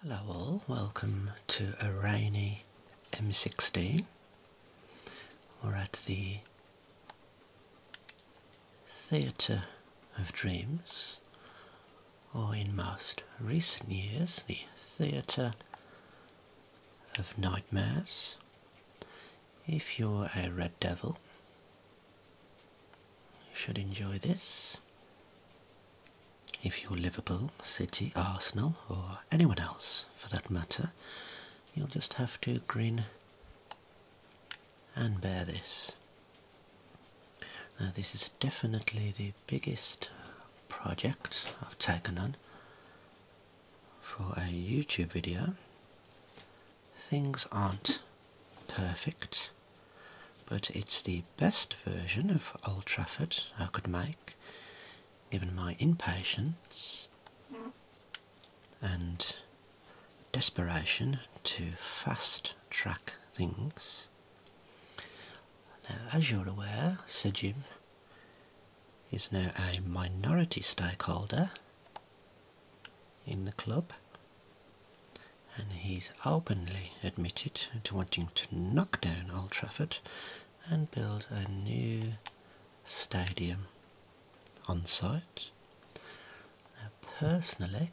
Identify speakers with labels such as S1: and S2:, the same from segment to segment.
S1: Hello all, welcome to a rainy M16. We're at the Theatre of Dreams, or in most recent years, the Theatre of Nightmares. If you're a Red Devil, you should enjoy this. If you're Liverpool, City, Arsenal, or anyone else for that matter, you'll just have to grin and bear this. Now, this is definitely the biggest project I've taken on for a YouTube video. Things aren't perfect, but it's the best version of Old Trafford I could make, given my impatience and desperation to fast track things. Now, as you're aware, Sir Jim is now a minority stakeholder in the club and he's openly admitted to wanting to knock down Old Trafford and build a new stadium on site. Now, personally,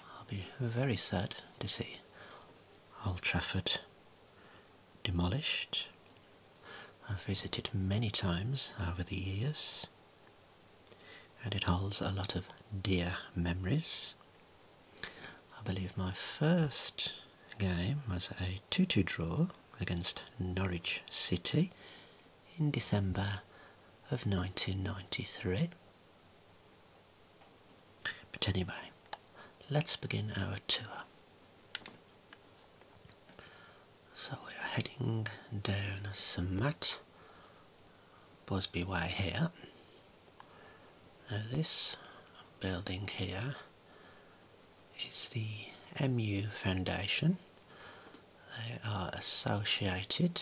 S1: I'll be very sad to see Old Trafford demolished. I've visited many times over the years and it holds a lot of dear memories. I believe my first game was a 2-2 draw against Norwich City in December of 1993. But anyway, let's begin our tour. So we are heading down some mat Bosby Way here. this building here is the MU Foundation. They are associated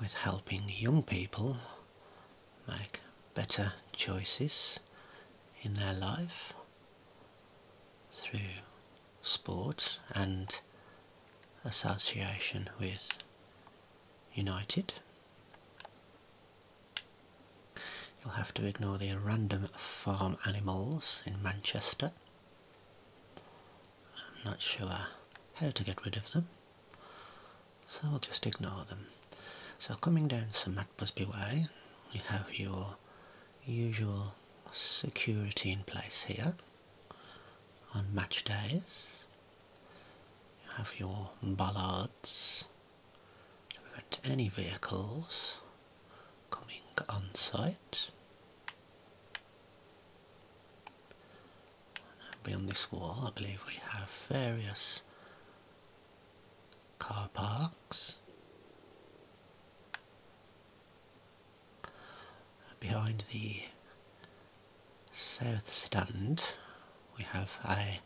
S1: with helping young people make better choices in their life through sports and association with United. You'll have to ignore the random farm animals in Manchester. I'm not sure how to get rid of them, so we'll just ignore them. So coming down St Matbusby Way, you have your usual security in place here on match days. You have your ballards to prevent any vehicles coming on site. beyond this wall, I believe we have various car parks. Behind the south stand we have a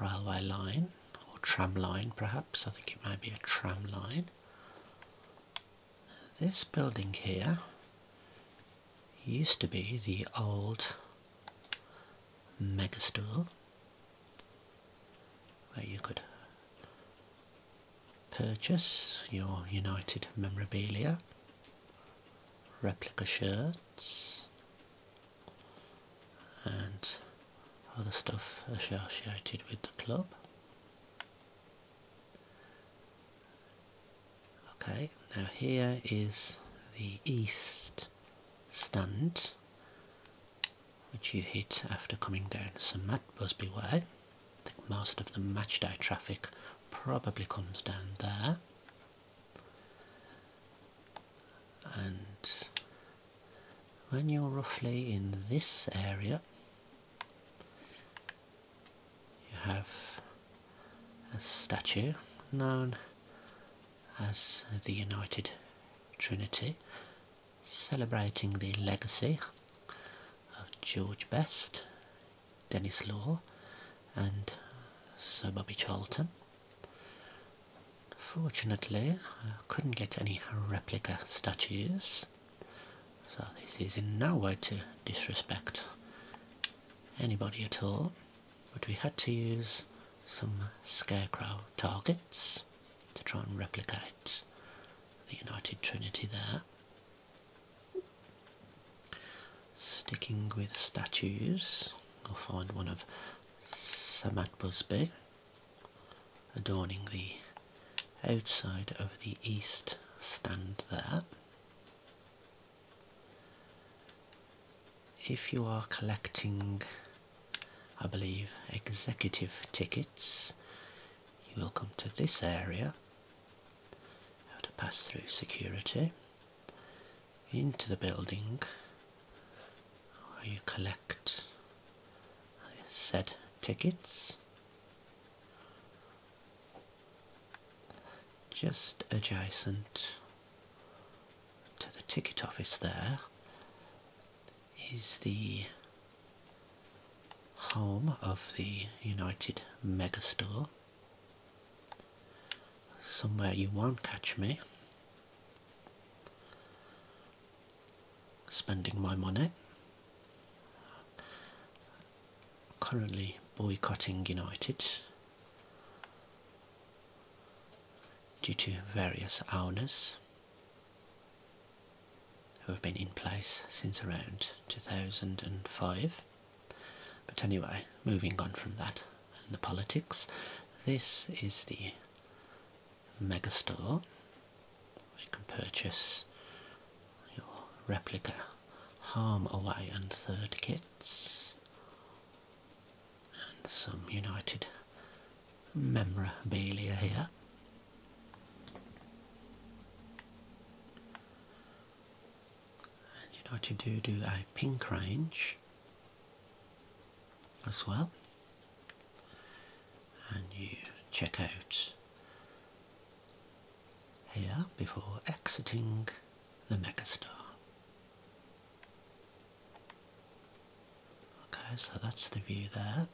S1: railway line or tram line perhaps, I think it might be a tram line. This building here used to be the old megastore where you could purchase your United memorabilia, replica shirts, and other stuff associated with the club. Okay, now here is the east stand which you hit after coming down St Matt Busby Way. I think most of the matchday traffic probably comes down there. And when you're roughly in this area, you have a statue known as the United Trinity, celebrating the legacy of George Best, Dennis Law and Sir Bobby Charlton. Fortunately, I couldn't get any replica statues, so this is in no way to disrespect anybody at all, but we had to use some scarecrow targets to try and replicate the United Trinity there. Sticking with statues, I'll find one of Samat Busby adorning the outside of the east stand there. If you are collecting, I believe, executive tickets, you will come to this area I to pass through security into the building where you collect set tickets. Just adjacent to the ticket office there is the home of the United Megastore. Somewhere you won't catch me spending my money. Currently boycotting United due to various owners who have been in place since around 2005. But anyway, moving on from that and the politics, this is the mega store. You can purchase your replica Harm Away and Third kits and some United memorabilia here. And you know what you do? Do a pink range as well. And you check out here before exiting the megastar. Okay, so that's the view there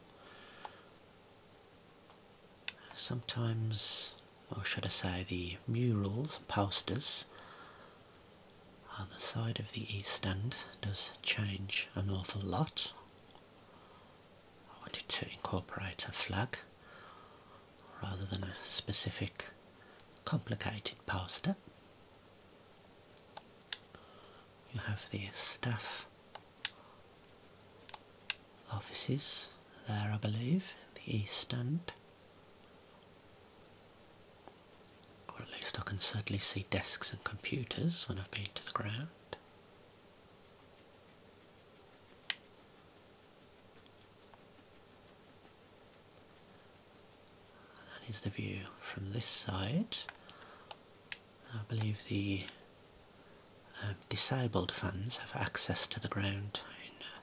S1: sometimes, or should I say, the murals, posters on the side of the east end does change an awful lot. I wanted to incorporate a flag rather than a specific complicated poster. You have the stuff offices there, I believe, the east end. Or at least I can certainly see desks and computers when I've been to the ground. That is the view from this side. I believe the uh, disabled fans have access to the ground in uh,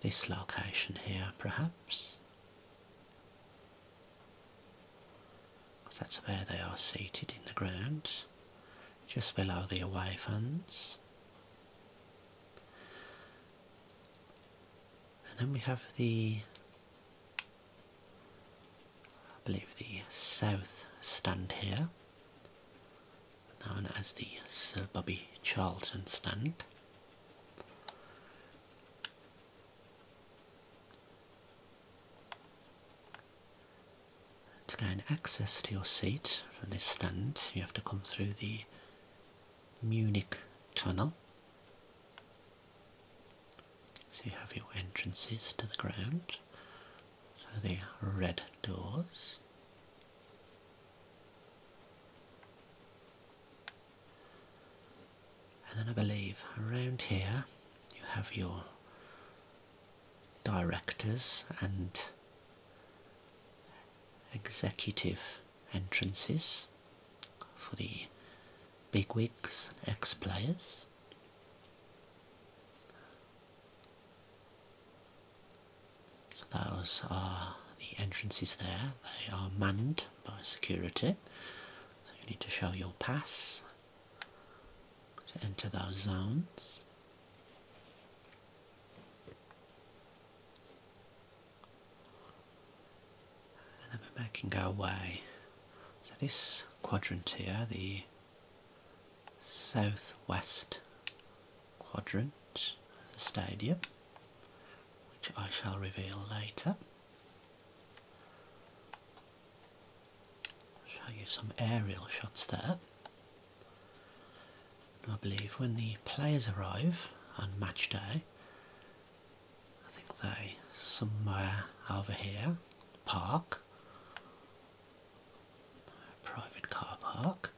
S1: this location here, perhaps. Because that's where they are seated in the ground, just below the away fans. And then we have the, I believe the south stand here known as the Sir Bobby Charlton stand. To gain access to your seat from this stand, you have to come through the Munich Tunnel. So you have your entrances to the ground. So the red doors. And then I believe around here you have your directors and executive entrances for the bigwigs and ex-players. So those are uh, the entrances there. They are manned by security. So you need to show your pass to enter those zones. And then we're making our way. So this quadrant here, the southwest quadrant of the stadium, which I shall reveal later. Show you some aerial shots there. I believe when the players arrive on match day, I think they somewhere over here park private car park.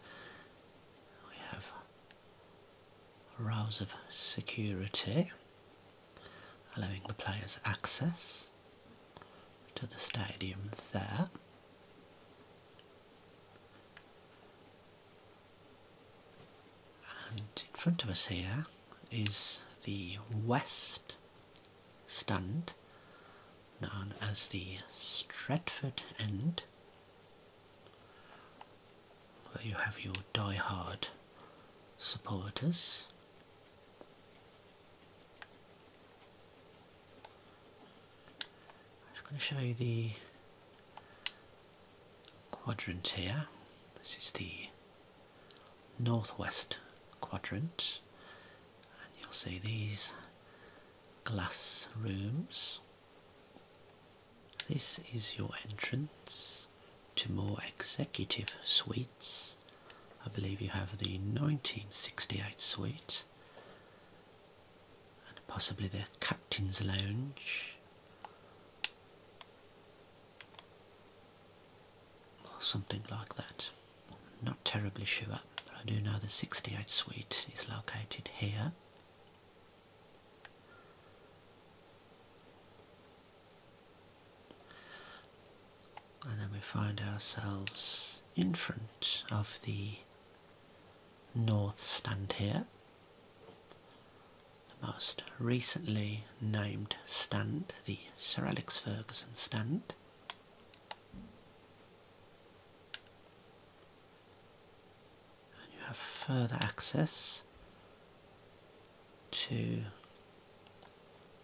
S1: We have rows of security allowing the players access to the stadium there. And in front of us here is the West Stunt, known as the Stratford End where you have your die-hard supporters I'm just going to show you the quadrant here this is the northwest quadrant and you'll see these glass rooms. This is your entrance to more executive suites. I believe you have the 1968 suite and possibly the captain's lounge. or Something like that not terribly sure, but I do know the 68 suite is located here. And then we find ourselves in front of the north stand here, the most recently named stand, the Sir Alex Ferguson stand. And you have further access to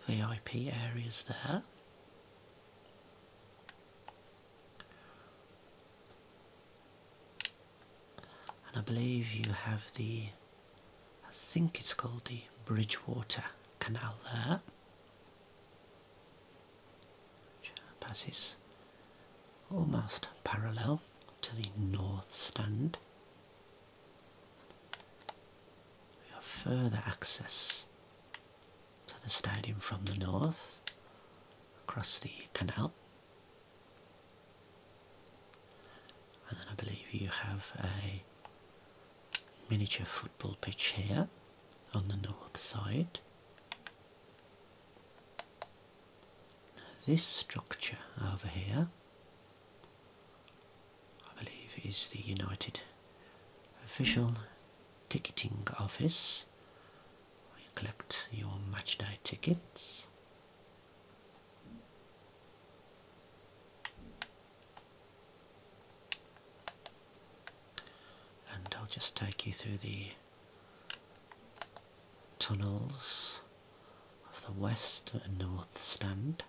S1: VIP areas there. And I believe you have the, I think it's called the Bridgewater Canal there which passes almost parallel to the north stand. We have further access to the stadium from the north across the canal. And then I believe you have a miniature football pitch here on the north side. this structure over here, I believe is the United Official Ticketing Office, where you collect your matchday tickets and I'll just take you through the tunnels of the west and north stand.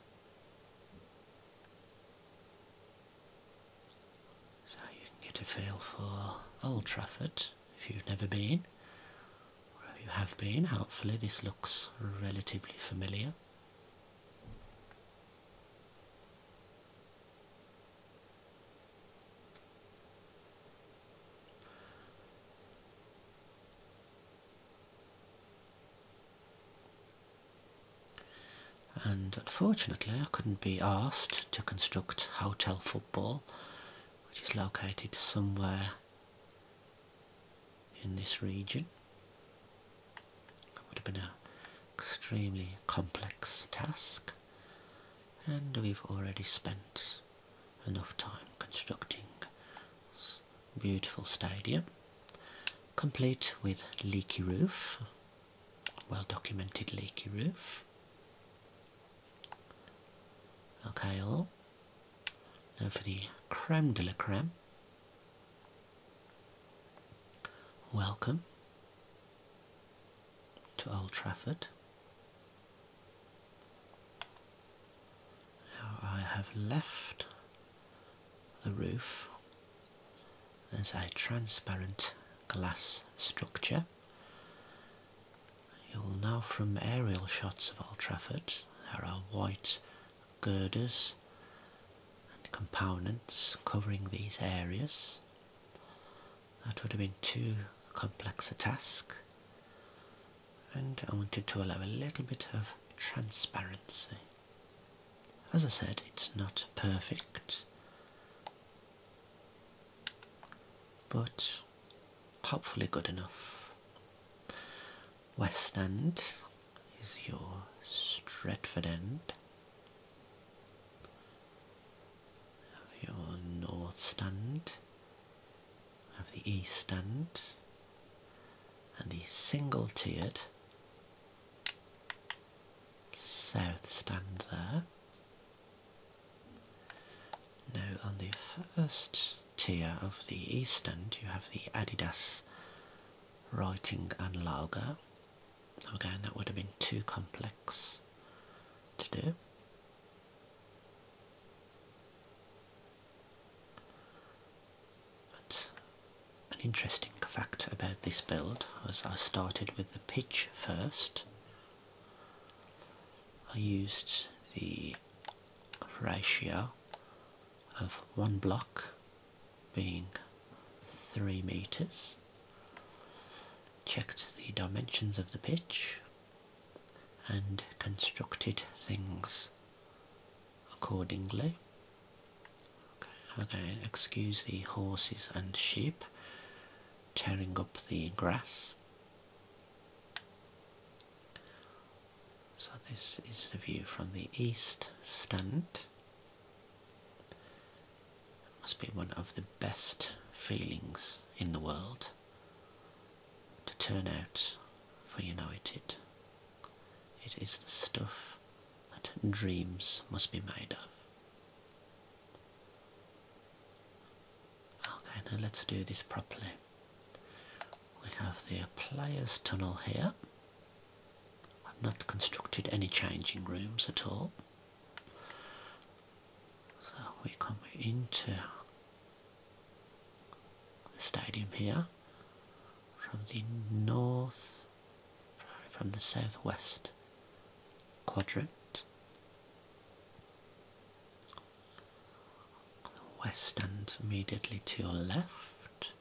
S1: So you can get a feel for Old Trafford if you've never been, or you have been, hopefully this looks relatively familiar and unfortunately I couldn't be asked to construct Hotel Football which is located somewhere in this region that would have been an extremely complex task, and we've already spent enough time constructing this beautiful stadium, complete with leaky roof, well documented leaky roof. Okay, all. Now for the creme de la creme. Welcome to Old Trafford. Now I have left the roof as a transparent glass structure. You'll know from aerial shots of Old Trafford there are white girders and components covering these areas. That would have been too complex a task, and I wanted to allow a little bit of transparency. As I said, it's not perfect, but hopefully good enough. West End is your Stretford end have your north stand have the east stand and the single tiered south stand there now on the first tier of the east end you have the adidas writing and lager Again, that would have been too complex to do. But an interesting fact about this build was I started with the pitch first. I used the ratio of one block being 3 meters. Checked the dimensions of the pitch and constructed things accordingly. Okay, excuse the horses and sheep tearing up the grass. So this is the view from the east stand must be one of the best feelings in the world to turn out for United. It is the stuff that dreams must be made of. Okay, now let's do this properly. We have the players tunnel here. I've not constructed any changing rooms at all. So we come into the stadium here from the north, from the southwest quadrant, west end, immediately to your left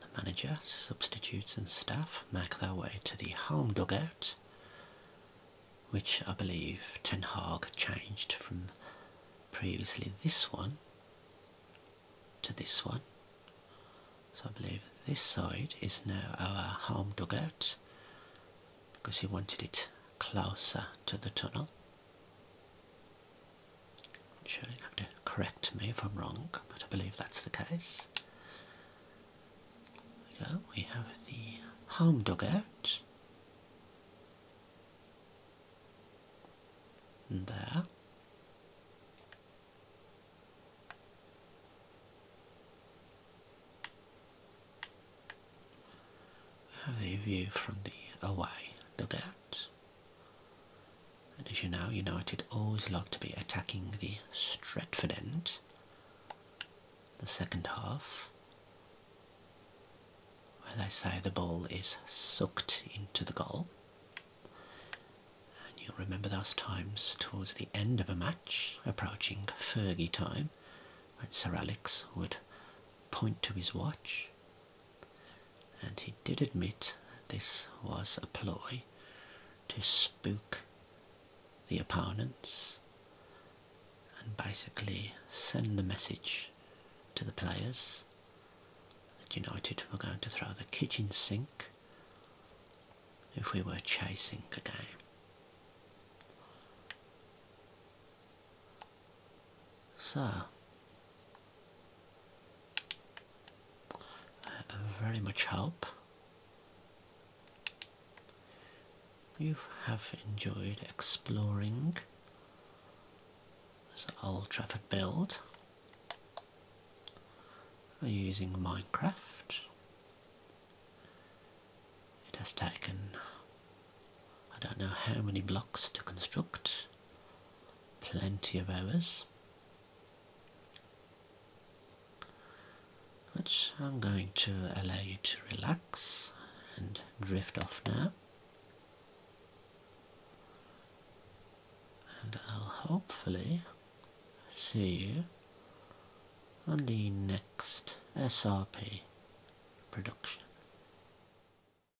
S1: the manager, substitutes and staff make their way to the home dugout, which I believe Ten Hag changed from previously this one to this one. So I believe this side is now our home dugout because he wanted it closer to the tunnel. Sure you have to correct me if I'm wrong, but I believe that's the case. We, have the home dugout. there. We have the view from the away dugout. And as you know, United always liked to be attacking the Stretford end, the second half, where they say the ball is sucked into the goal. And you remember those times towards the end of a match, approaching Fergie time, when Sir Alex would point to his watch and he did admit this was a ploy to spook the opponents and basically send the message to the players that United were going to throw the kitchen sink if we were chasing a game. So, very much help. you have enjoyed exploring this Old Trafford build using Minecraft. It has taken I don't know how many blocks to construct Plenty of errors. Which I'm going to allow you to relax and drift off now. And I'll hopefully see you on the next SRP production.